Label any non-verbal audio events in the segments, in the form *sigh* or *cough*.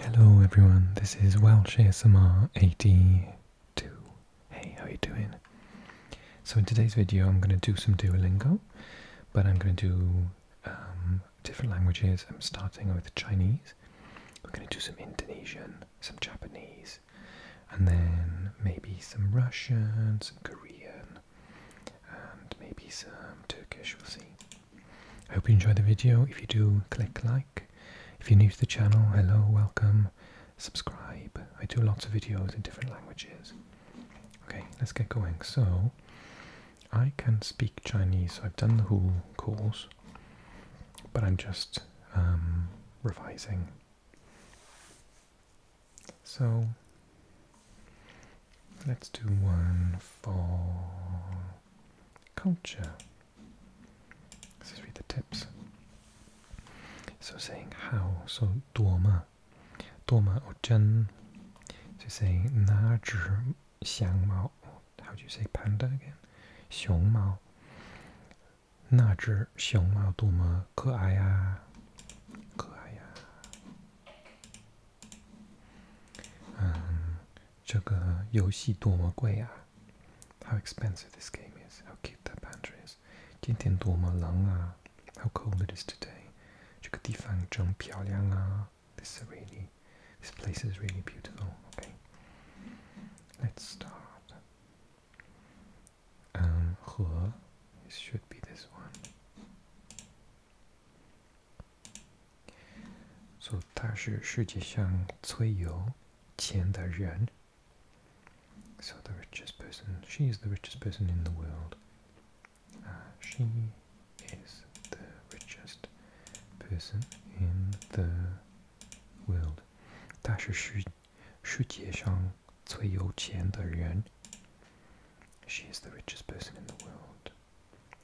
Hello everyone, this is Welsh ASMR82. Hey, how are you doing? So in today's video I'm going to do some Duolingo, but I'm going to do um, different languages. I'm starting with Chinese, we're going to do some Indonesian, some Japanese, and then maybe some Russian, some Korean, and maybe some Turkish, we'll see. I hope you enjoy the video. If you do, click like. If you're new to the channel, hello, welcome, subscribe. I do lots of videos in different languages. Okay, let's get going. So, I can speak Chinese. I've done the whole course, but I'm just um, revising. So, Let's do one for culture. Let's read the tips. So saying how, so dorma, dorma or So saying na zhi xiang mao. How do you say panda again? Xiong mao. Na zhi xiong mao dorma ke ai 这个游戏多么贵啊！How expensive this game is! How cute that pantry is! 今天多么冷啊！How cold it is today! 这个地方真漂亮啊！This really, this place is really beautiful. Okay, let's start. Um, 和 it should be this one. So 他是世界上最有钱的人。So the richest person, she is the richest person in the world. Uh, she is the richest person in the world. 他是世世界上最有钱的人。She is the richest person in the world.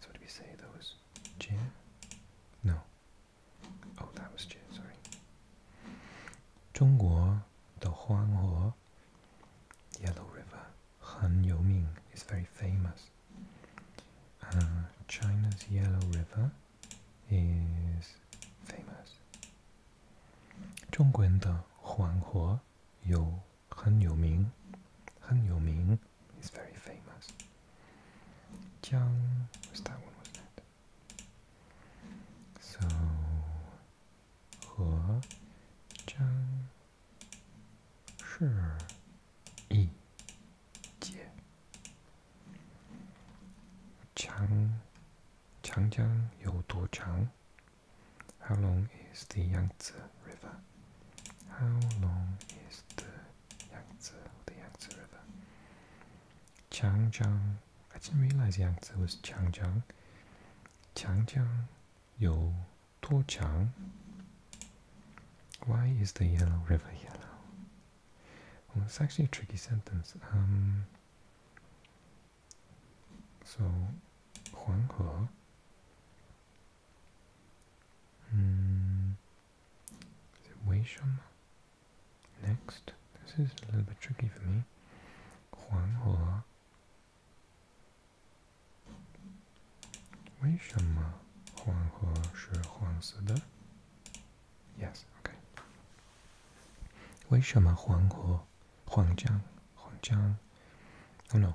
So what did we say? those? was No. Oh, that was J, sorry. 中国的黄河 Yellow River, Han Youming is very famous. Uh, China's Yellow River is famous. 中国的黄河有很有名，很有名，is very famous。江，what's that one? Was that? So，和江，是，一，节。长，长江有多长？How long is the Yangtze River? How long is the Yangtze, the Yangtze River? Changjiang. I didn't realize Yangtze was Changjiang. Changjiang Yo Tuochang. Why is the Yellow River yellow? Well, it's actually a tricky sentence. Um, so, Huanghe Mm. Is Next. This is a little bit tricky for me. Huanghua. Weisham Huanghua shi Huangzi de? Yes, okay. Weisham Huanghua Huangjiang Huangjiang? Oh no,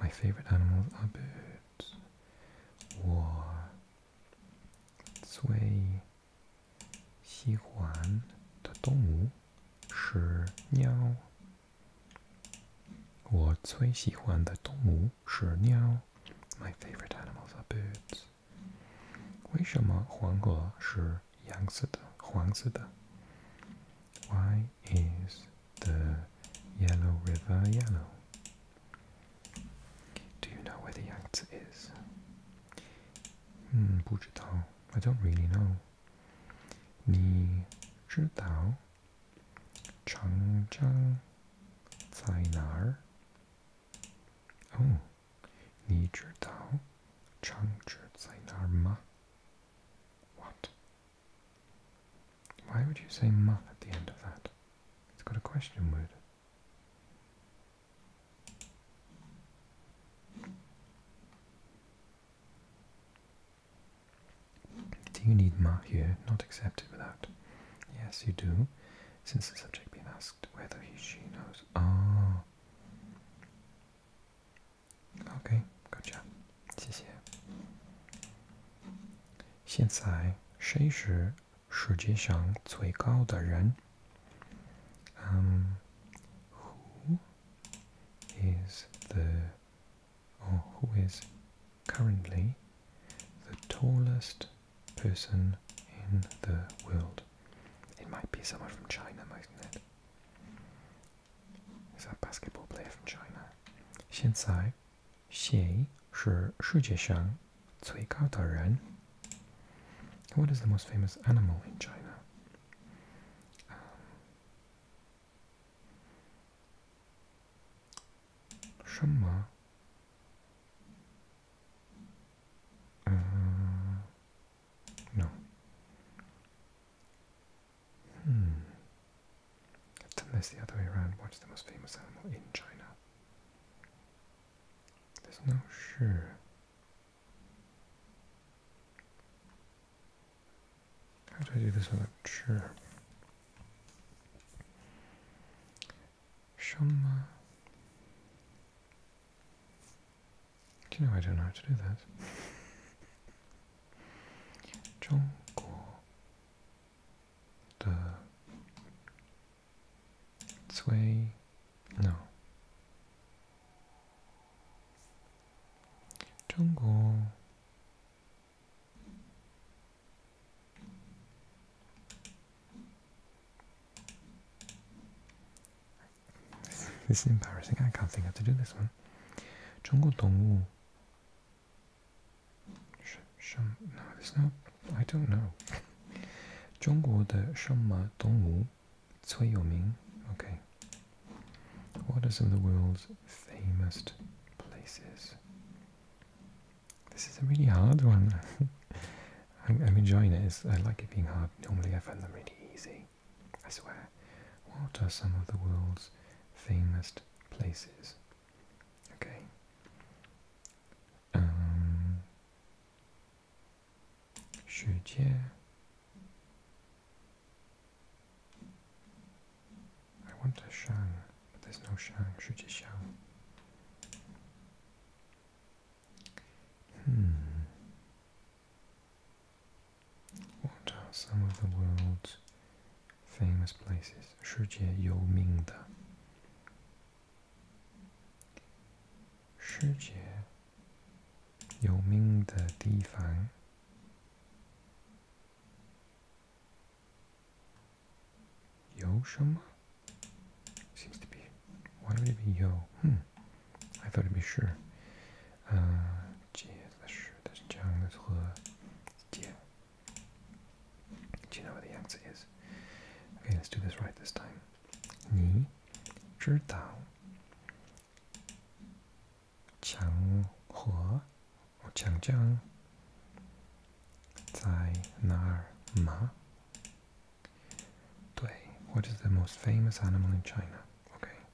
My favorite animals are birds. 我最喜欢的动物是鸟。我最喜欢的动物是鸟。My favorite animals are birds. 为什么黄河是？yang Sita, Huang Sita. Why is the Yellow River yellow? Do you know where the Yangtze is? Hmm, 不知道. I don't really know. 你知道长江在哪儿？哦，你知道长江在哪儿吗？what? Why would you say muff at the end of that? It's got a question word. Do you need ma here, not accepted without? Yes, you do, since the subject being asked whether he, she knows. Ah. OK, gotcha. 谢谢。现在谁是世界上最高的人？Um, who is the or who is currently the tallest person in the world? It might be someone from China, mightn't it? is a basketball player from China. 现在谁是世界上最高的人? What is the most famous animal in China? Um, no. Hmm. I've done this the other way around. What's the most famous animal in China? There's no sure. How do I do this without sure? Shama you know I don't know how to do that? Zhongguo. The Cui. No. Zhongguo this is embarrassing. I can't think how to do this one. Chongo Dongwu. No, there's no. I don't know. Zhongguo de Shenma Dongwu Cui Yoming. Okay. What are some of the world's famous places? This is a really hard one. *laughs* I'm, i enjoying it. I like it being hard. Normally I find them really easy. I swear, what are some of the world's famous places? Okay. Um, Xue I want a Shang, but there's no Shang. Shujie Shang. Hmm. What are some of the world's famous places? 世界有名的世界有名的地方有什么？Seems to be. Why would it be Hmm. I thought it would be sure. Uh, Do you know where the Yangtze is? Okay, let's do this right this time. Ni, what is the most famous animal in China? Okay,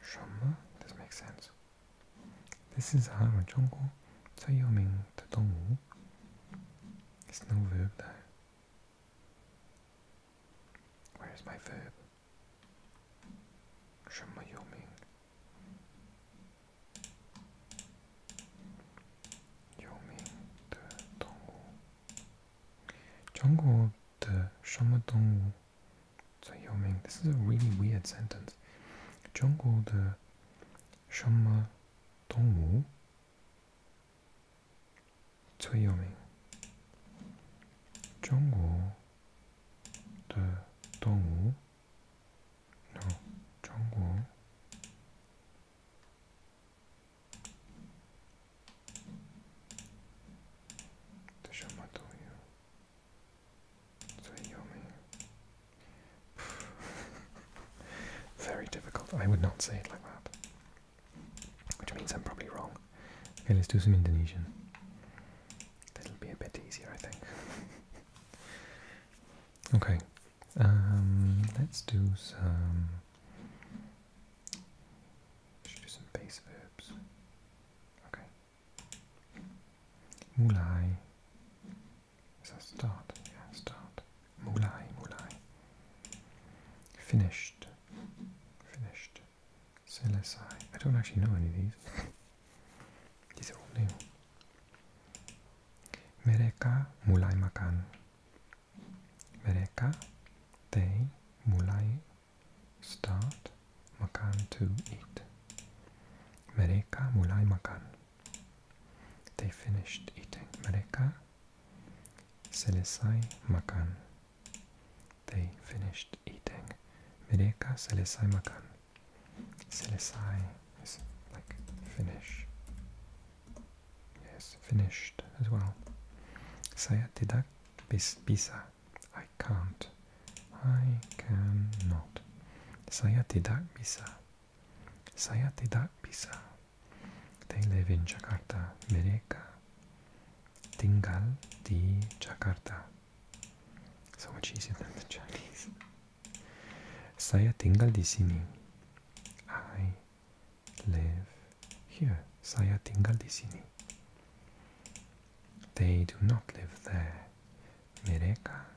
什么? This makes sense. This is how in Zhongguo, 这又名的动物. It's no verb though. Where is my verb? 什么又名? Zhongguo 的什么动物 so Yao Ming, this is a really weird sentence. Zhongguo de Shenme Dongwu Cui Yao Ming. Zhongguo de Dongwu No, Zhongguo de Shenme Dongwu so *laughs* yummy. Very difficult. I would not say it like that. Which means I'm probably wrong. Okay, let's do some Indonesian. That'll be a bit easier, I think. *laughs* okay, um, let's do some. Should do some base verbs. Okay. Mulai. Is start? start. Mulai, mulai. Finished. Finished. Selesai. I don't actually know any of these. *laughs* these are all new. Mereka mulai makan. Mereka, they, mulai, start, makan to eat. Mereka mulai makan. They finished eating. Mereka selesai makan. They finished eating. Mereka selesai makan. Selesai is like finish. Yes, finished as well. Saya tidak bisa. I can't. I cannot. Saya tidak bisa. Saya tidak bisa. They live in Jakarta. Mereka tinggal di Jakarta. So much easier than the Chinese. Saya tinggal di sini. I live here. Saya tinggal di sini. They do not live there. Mereka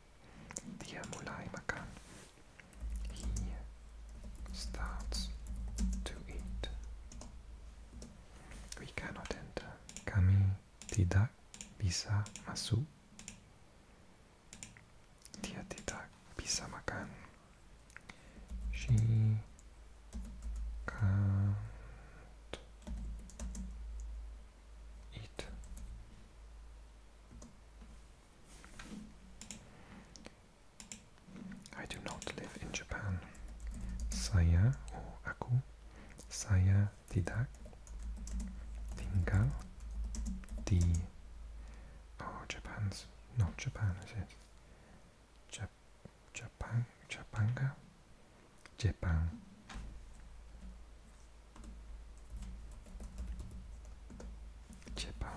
The Mulai Makan. He starts to eat. We cannot enter. Kami tidak bisa masuk. Dia tidak bisa makan. She can't eat. I do not live in Japan. Saya or aku, saya tidak tinggal di. Oh, Japan's not Japan, is it? Jap Japan, Japanga, Japan. Kepa,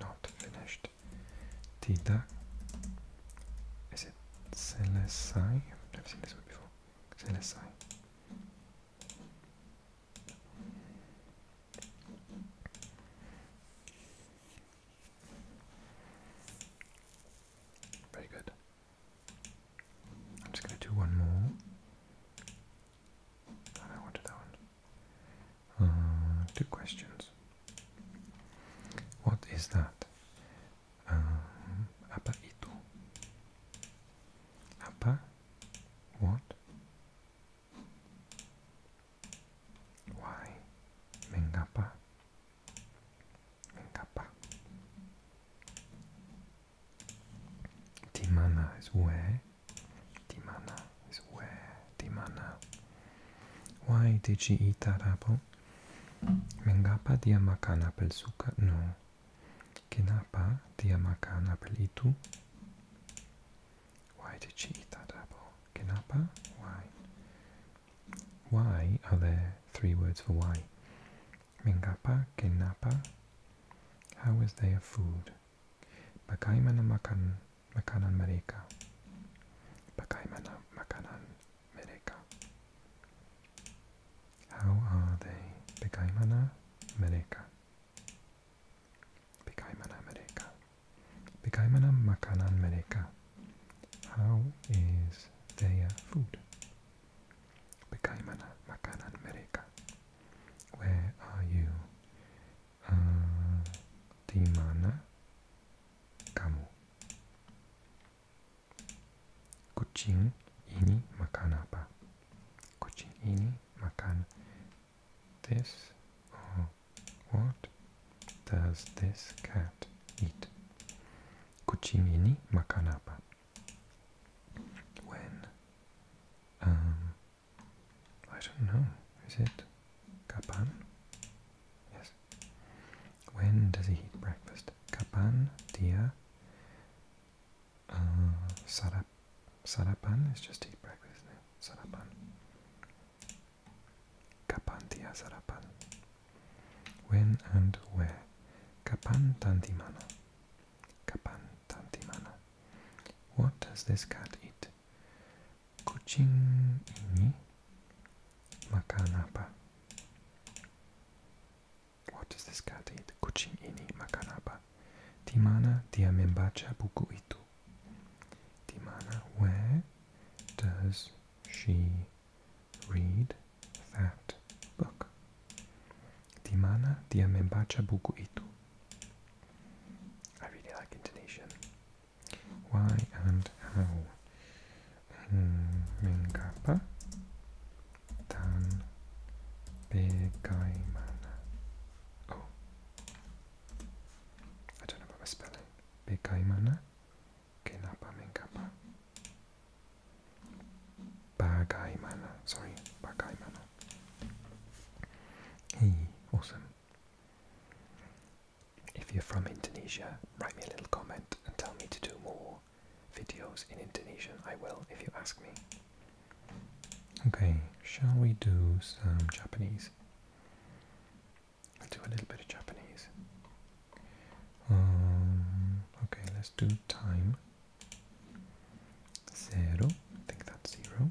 not finished. Tida, is it Celesai? I've seen this one before. Celesai. Very good. I'm just going to do one more. I wanted that one. Uh, two questions. What is that? Um, apa itu? What? Why? Mengapa? Mengapa? Timana is where. Dimana is where? Why did she eat that apple? Mengapa dia makan apel suka? No. Kenapa dia makan apel Why did she eat that apple? Kenapa? Why? Why are there three words for why? Mengapa, kenapa. How is there food? Bagaimana makan makanan How are they? Bagaimana mereka? Bagaimana How is their food? Bagaimana makanan mereka? Where are you? uh, di mana kamu? Kucing ini makan apa? Kucing ini makan this or what does this cat eat? Kucing ini makan apa? When um, I don't know. Is it kapan? Yes. When does he eat breakfast? Kapan dia uh, sarap sarapan Let's just eat breakfast. now. Sarapan. Kapan dia sarapan? When and where? Kapan tanti mana? Kapan tanti mana? What does this cat eat? Kucing ini makan apa? What does this cat eat? Kucing ini makan apa? Di mana dia membaca buku itu? Di mana? Where does she read that book? Di mana dia membaca buku itu? I really like Indonesian. Why and how? Mengapa hmm, dan bagaimana? Oh, I don't know about my spelling. Bagaimana? Kenapa mengapa? Bagaimana? Sorry, bagaimana? Hey, awesome. If you're from Indonesia, write me a little comment and tell me to do more videos in Indonesian. I will if you ask me. Okay, shall we do some Japanese? Let's do a little bit of Japanese. Um, okay, let's do time. Zero. I think that's zero.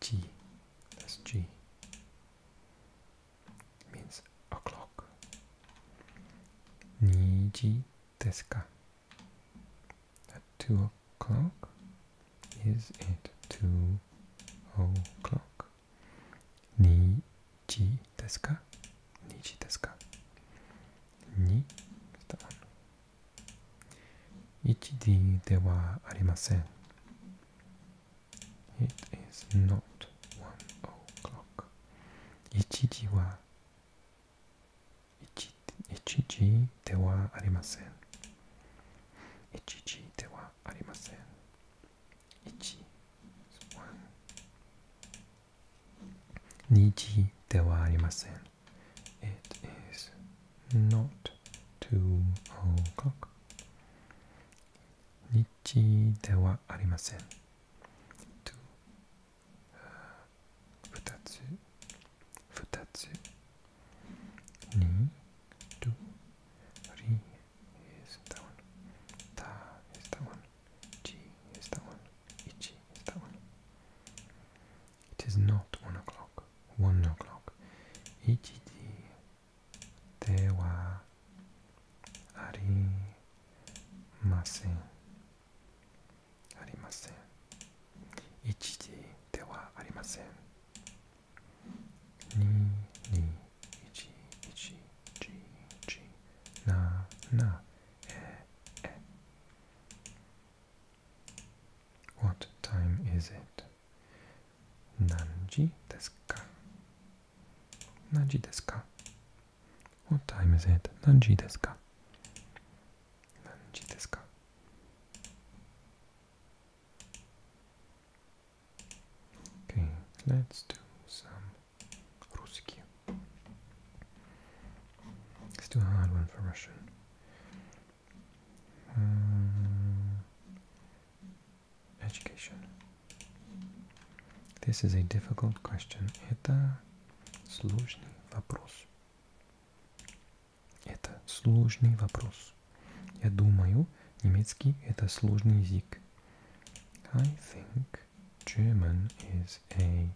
G. That's G. Means o'clock. Niji deska. At two o'clock is it two o'clock. Niji deska. deska. Ni is the one. 一時ではありません。It is not one o'clock. 1時は 1, 時ではありません。一時ではありません。1 1二時ではありません。It is not two o'clock. 日ではありません。two 二つ二つに two three is that one た is that one ち is that one 一 is that one It is not one o'clock. One o'clock. Ichiji de wa arimasen. Arimasen. Ichiji de wa arimasen. Ni ni What time is it? Nanji deska. What time is it? Nanji deska. Okay, let's do some Ruski. It's too hard one for Russian. education. This is a difficult question. Это сложный вопрос. Это сложный вопрос. Я думаю, немецкий это сложный язык. I think German is a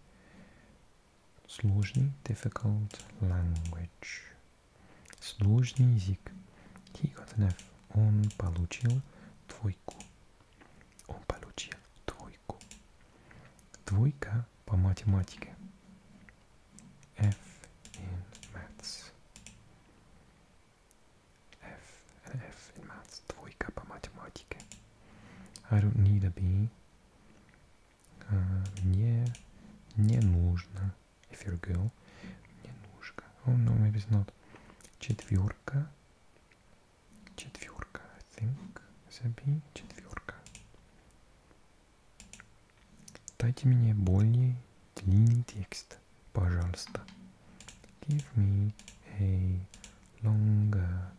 сложный, difficult language. сложный язык. Тихонов, он получил двойку. Он получил двойку. Двойка по математике. F in maths. F, F in maths. Двойка по математике. I don't need a B. А, не, не нужно. If you're girl, не нужно. Oh, no, maybe it's not. Четверка. Четверка, I think. Заби, четверка. Дайте мне более длинный текст, пожалуйста. Give me a longer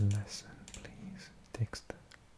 lesson, please. Текст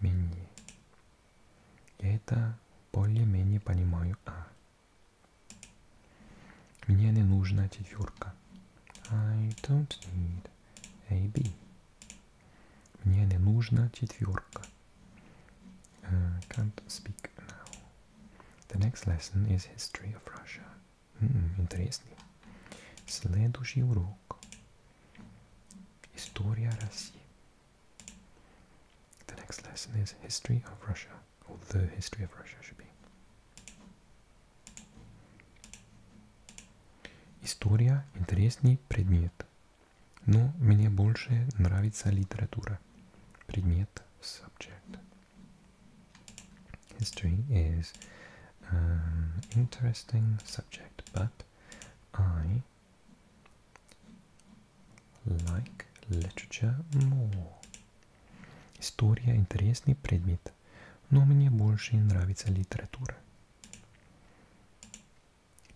менее. Я это более-менее понимаю. А. Мне не нужна четверка. I don't need A, B. Мне не нужна четверка. Uh, can't speak now. The next lesson is history of Russia. Mm, интересный. Следующий урок. History of Russia. The next lesson is History of Russia, or the History of Russia should be. History is an um, interesting subject, but I like literature more. Istorija je interesni predmet, no meni je boljše in nravica literatura.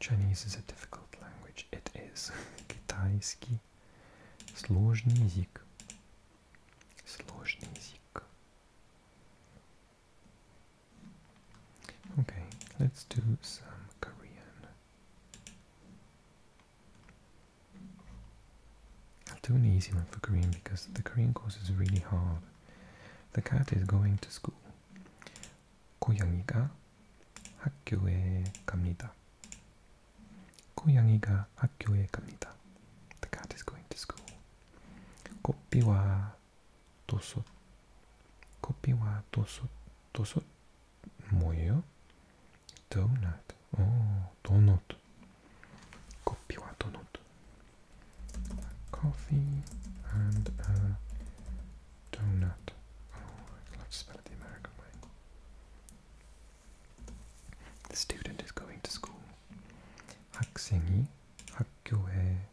Chinese is a difficult language. It is. *laughs* Kitajski. Složni jezik. Složni jezik. Okay, let's do some Korean. I'll do an easy one for Korean because the Korean course is really hard. The cat is going to school. 고양이가 학교에 갑니다. 고양이가 학교에 갑니다. The cat is going to school. 꽃비와 tosot. Copy wa tosot, tosot moyo. Donut. Oh, donut. Copy wa donut. A coffee and a donut. Oh, I love to spell the American way. The student is going to school. 학생이 학교에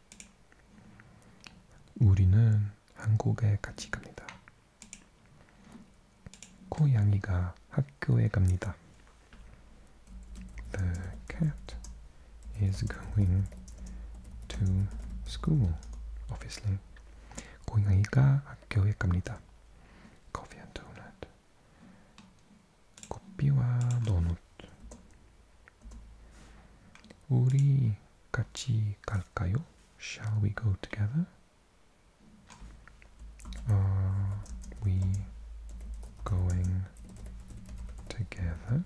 우리는 한국에 같이 갑니다. 고양이가 학교에 갑니다. The cat is going to school. Obviously. 고양이가 학교에 갑니다. 커피 한 도넛. 커피와 도넛. Uri, Kachi, Kalkayo, Shall we go together? Are we going together?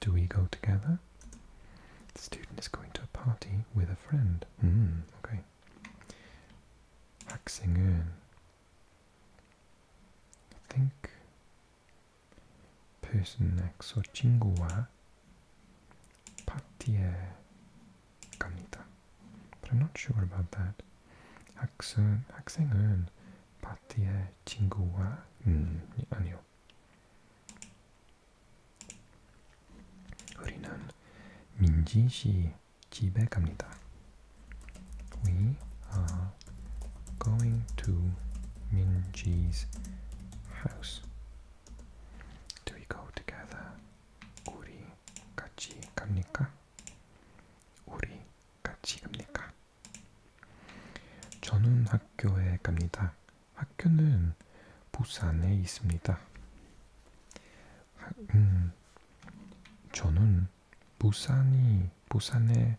Do we go together? The student is going to a party with a friend. Mm, okay. Hacksingen. think 페스넥소 친구와 파티에 갑니다. But I'm not sure about that. 학생, 학생은 파티에 친구와 음, 아니요. 우리는 민지 씨 집에 갑니다. We are going to Minji's house. Do we go together? 우리 같이 갑니까? 우리 같이 갑니까? 저는 학교에 갑니다. 학교는 부산에 있습니다. 하, 음, 저는 부산이 부산에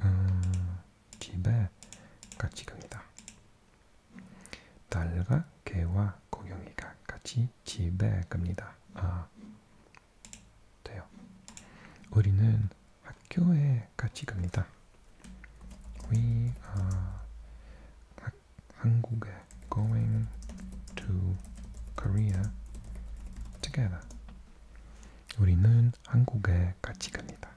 음, 집에 같이 갑니다. 달과 개와 고양이가 같이 집에 갑니다. 아, 돼요. 우리는 학교에 같이 갑니다. We are 학, 한국에 going to Korea together. 우리는 한국에 같이 갑니다.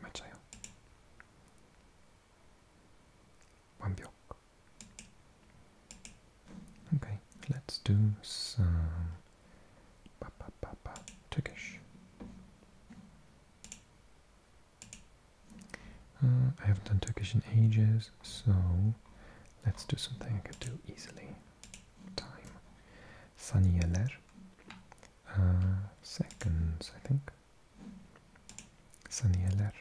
맞아요. 완벽. Okay, let's do some ba ba Turkish. Uh, I haven't done Turkish in ages, so let's do something I could do easily. Time. Saniyeler. Uh, seconds, I think. Sanieler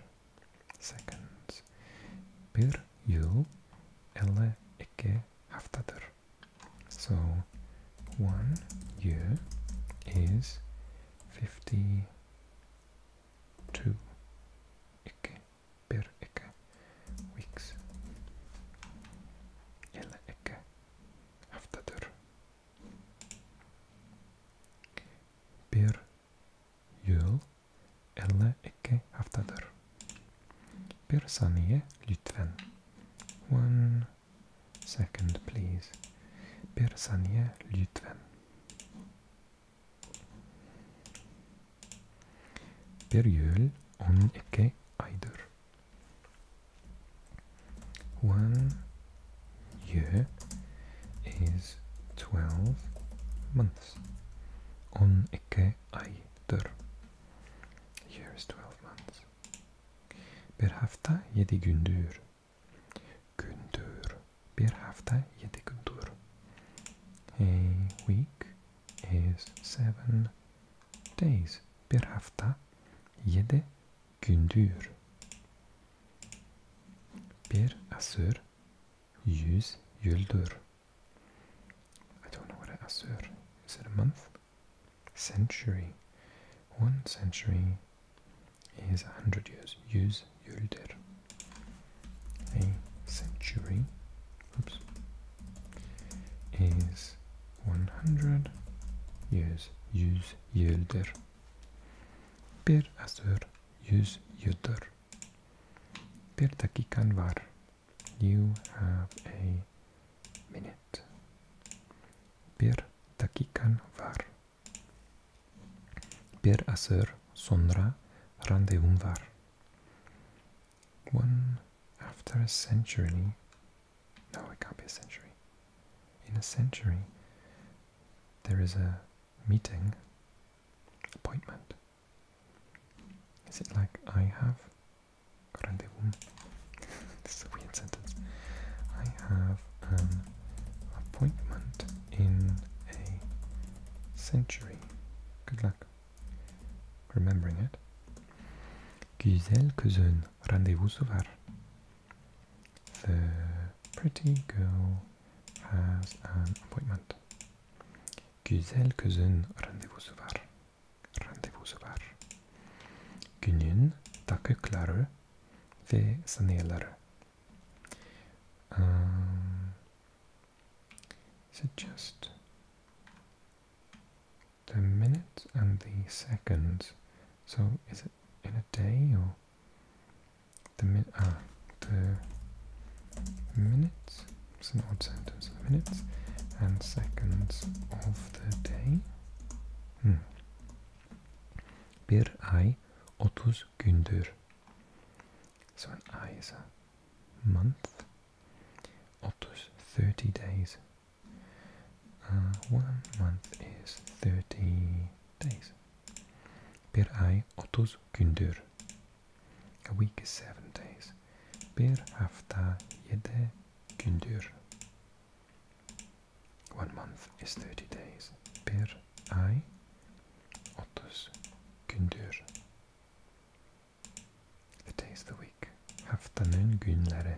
seconds. Bir yıl ele iki haftadır. So one year is fifty two iki bir iki weeks ele iki haftadır bir yıl elli iki haftadır bir saniye lütfen one second please bir saniye lütfen bir yıl on iki aydır One year is 12 months. On ikke aydır. Year is 12 months. Bir hafta yedi gündür. Gündür. Bir hafta yedi gündür. A week is seven days. Bir hafta yede gündür. per asır yüz yıldır. I don't know what an asır. Is it a month? Century. One century is a hundred years. Yüz yıldır. A century oops, is 100 yüz, yüz yıldır. Per asır yüz yıldır. Per dakikan var. You have a minute. Per dakikan var. Bir asır sonra randevum var. One after a century no, it can't be a century. In a century, there is a meeting appointment. Is it like I have *laughs* this is a weird sentence. I have an um, appointment in a century. Good luck remembering it. Güzel kızın. Rendezvous Sauvage. The pretty girl has an appointment. Güzel kızın randevusu var. Randevusu var. ve saniyeleri. Um, the minutes and the seconds. So is it in a day or the min? Ah, the minutes. It's an odd sentence. Minutes and seconds of the day. Hmm. Bir ay otuz gündür. So an ay is a month. Otuz, 30 days. Uh, one month is 30 days. Per ay otus gündür. A week is 7 days. Per hafta 7 gündür. One month is 30 days. Per ay otus gündür. The days of the week. Haftanın günleri.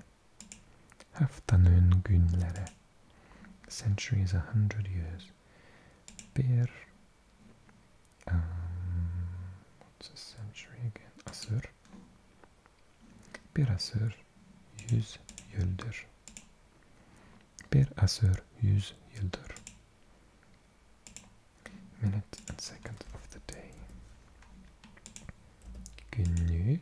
Haftanun Günlere, century is a hundred years. Bir, um, what's a century again? Asır. Bir asır, yüz yıldır. Bir asır, yüz yıldır. Minute and second of the day. Günlük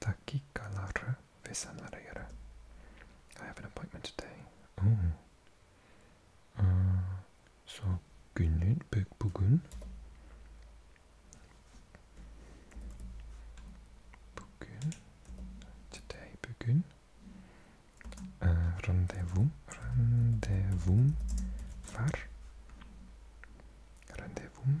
Takikalara Vesanarayara. I have an appointment today. Oh. Uh, so günün pek bugün. Bugün. Today bugün. Uh, randevum. Randevum var. Randevum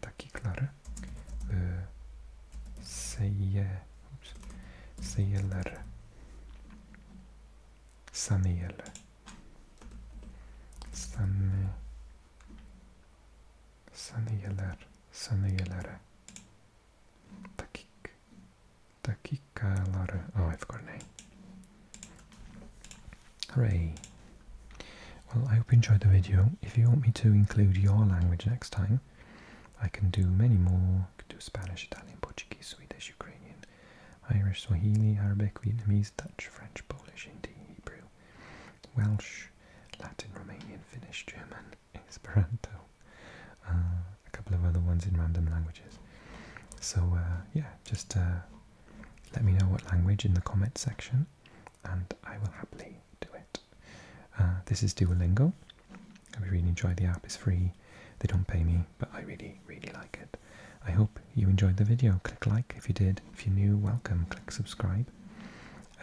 takiklari e, seyye seyyelleri saniyeli sani saniyeler saniyelere dakik dakikaları oh I've got a name hooray well I hope you enjoyed the video if you want me to include your language next time I can do many more. I can do Spanish, Italian, Portuguese, Swedish, Ukrainian, Irish, Swahili, Arabic, Vietnamese, Dutch, French, Polish, Hindi, Hebrew, Welsh, Latin, Romanian, Finnish, German, *laughs* Esperanto, uh, a couple of other ones in random languages. So uh, yeah, just uh, let me know what language in the comment section, and I will happily do it. Uh, this is Duolingo. I really enjoy the app. It's free. They don't pay me, but I really, really like it. I hope you enjoyed the video. Click like if you did. If you're new, welcome. Click subscribe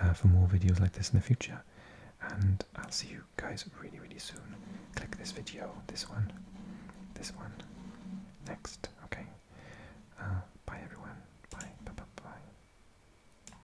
uh, for more videos like this in the future. And I'll see you guys really, really soon. Click this video, this one, this one, next. Okay. Uh, bye, everyone. Bye. Bye. Bye. bye.